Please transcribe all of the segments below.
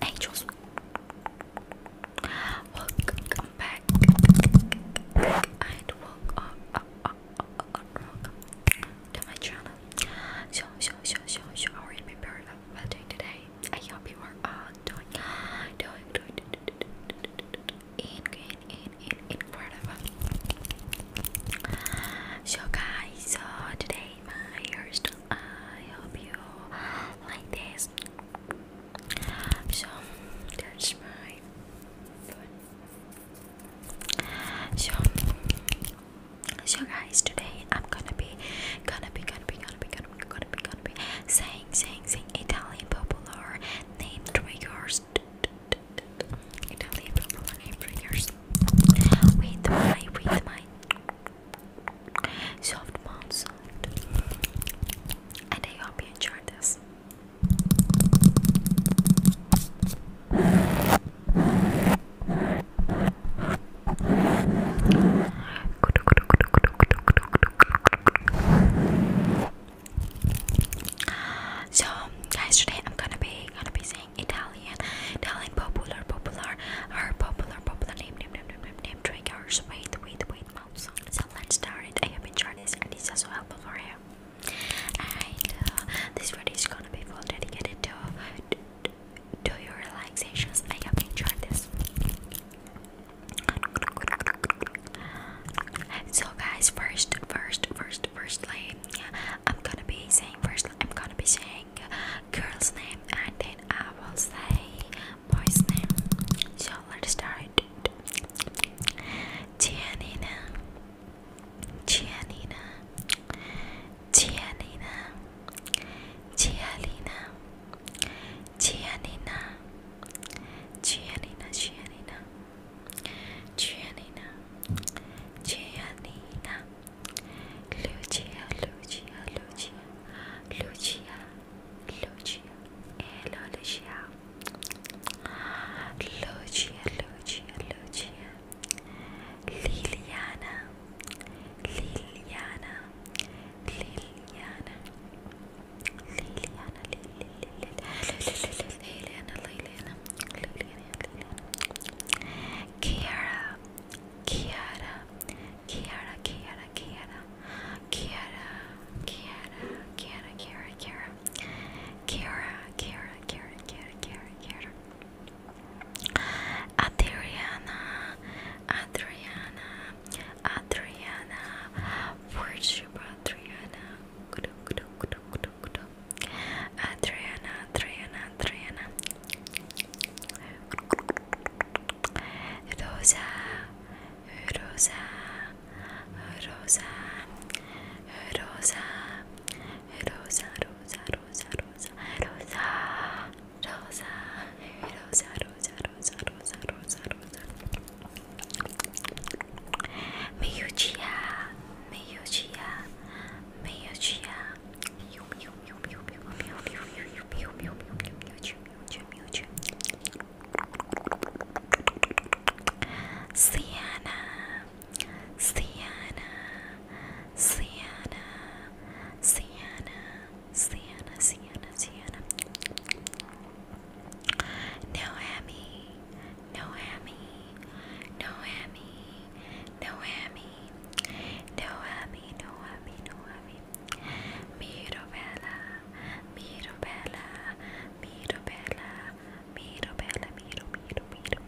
Angels, welcome back. to my channel. So, so, so, so, so, how are you prepared? Well, doing today? I hope you are all doing, doing, doing, doing, doing, doing, doing, doing, doing, in in in in in Cordova. So guys, so today my hairstyle. I hope you like this. So that's my So so guys, today I'm gonna be gonna be gonna be gonna be gonna be gonna be saying saying saying Italian popular name triggers Italian people and hamburgers soft mouth I hope you enjoyed this. So guys, today I'm gonna be gonna be saying Italian, Italian popular, popular, or popular, popular name, name, name, name, name, name triggers. Wait, wait, wait, mouse on. So let's start it. I hope you enjoyed this, and it's also helpful for you. And uh, this video is gonna be full dedicated to, to, to your relaxations. I hope you enjoyed this. So guys, first, first, first, firstly, I'm gonna be saying first. I'm gonna be saying girl's name, and then I will say boy's name. So let's start. Gianina, Gianina, Gianina, Gianina, Gianina. Gianina, Gianina, Gianina, Gianina, Gianina, Lucia, Lucia, Lucia, Lucia, Lucia, hello Lucia, Lucia, Lucia, Lucia, Liliana, Liliana, ليليانا ليليانا ليليانا ليليانا كيارا كيارا كيارا كيارا كيارا كيارا كيارا كيارا كيارا كيارا كيارا كيارا كيارا كيارا كيارا Adriana Adriana Adriana, worship Adriana. Adriana, Adriana, Adriana. Rosa, Rosa, Rosa, Rosa, Rosa, Rosa, Rosa, Rosa, Rosa, Rosa, Rosa, Rosa, Rosa, Rosa, Rosa, Rosa. Miyuchiya, Miyuchiya, Miyuchiya. Miyu, miyu, miyu, miyu, miyu, miyu, miyu, miyu, miyu, miyu, miyu, miyu, miyu, miyu, miyu. Sienna, Sienna, Sienna, Sienna, Sienna, Sienna, Sienna. Noemi, Noemi, Noemi, Noemi, Noemi, Noemi, Noemi. Mirabella, Mirabella, Mirabella, Mirabella, Miro, Miro, Miro,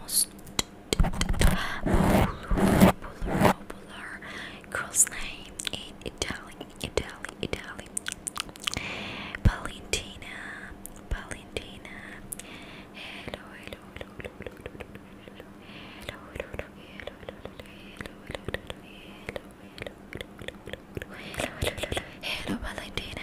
most popular, popular girl's name in Italy, Italy, Italy. Valentina, Valentina. Hello, hello, hello, hello, hello, hello, hello, hello, hello, hello, hello, hello, hello, hello, hello, Valentina.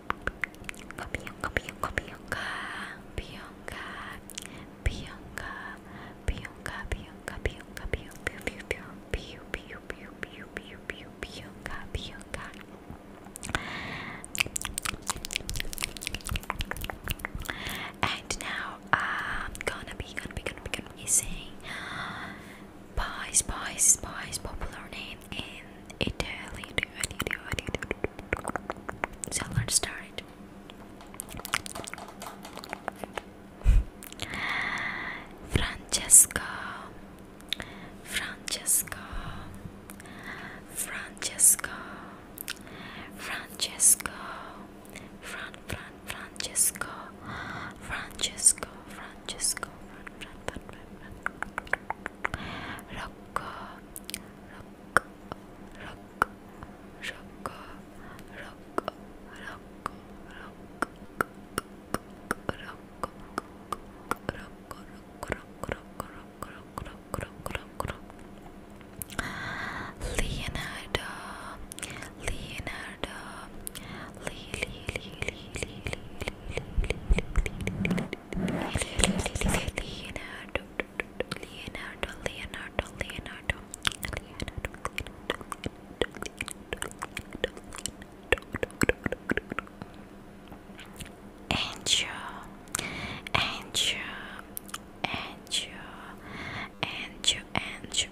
Pionka, pionka, pionka, pionka, pionka, pionka, pionka, pionka, pionka, pionka, and now I'm um, gonna be gonna be gonna be gonna be saying uh, Pies, Pies, Pies, popular name in Italy. Do do, I need you, I need start. Fran, Fran, Francesca, Francesca, Francesca, Fran, Fran, Fran rock rock rock rock rock rock rock Leonardo Leonardo Lee Lee Lee Lee Lee Lee Leonardo, Leonardo, Leonardo, Leonardo, Angel, Angel, Angel, Angel, Angel,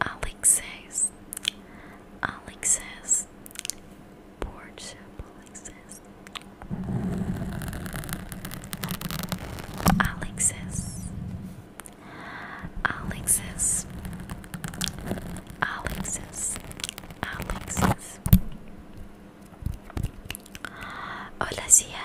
Alexis, Alexis, Portia, Alexis, Alexis, Alexis, Alexis, Alexis. Hola Sia,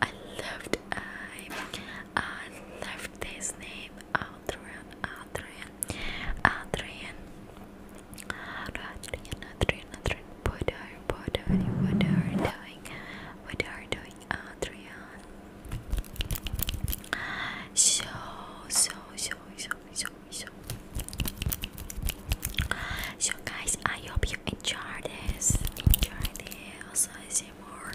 I loved I I loved this name Adrian Adrian Adrian Adrian Adrian Adrian What are what are what are doing what are doing Adrian So so so so so so So guys I hope you enjoy this enjoy this also ASMR,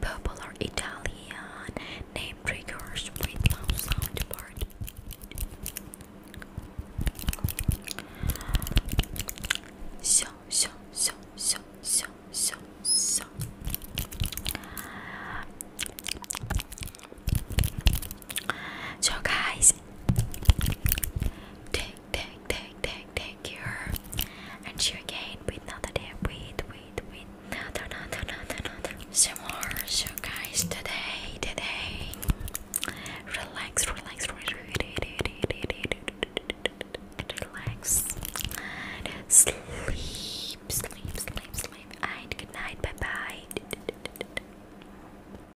purple or Italian, name triggers with loud sound So, so, so, so, so, so, so. guys, Take, take, take, take your and she again with another day. Wait, wait, wait. Another, another, another, another. Some more. So guys, today, today, relax, relax, relax, relax. Sleep, sleep, sleep, sleep. And good night. Bye, bye.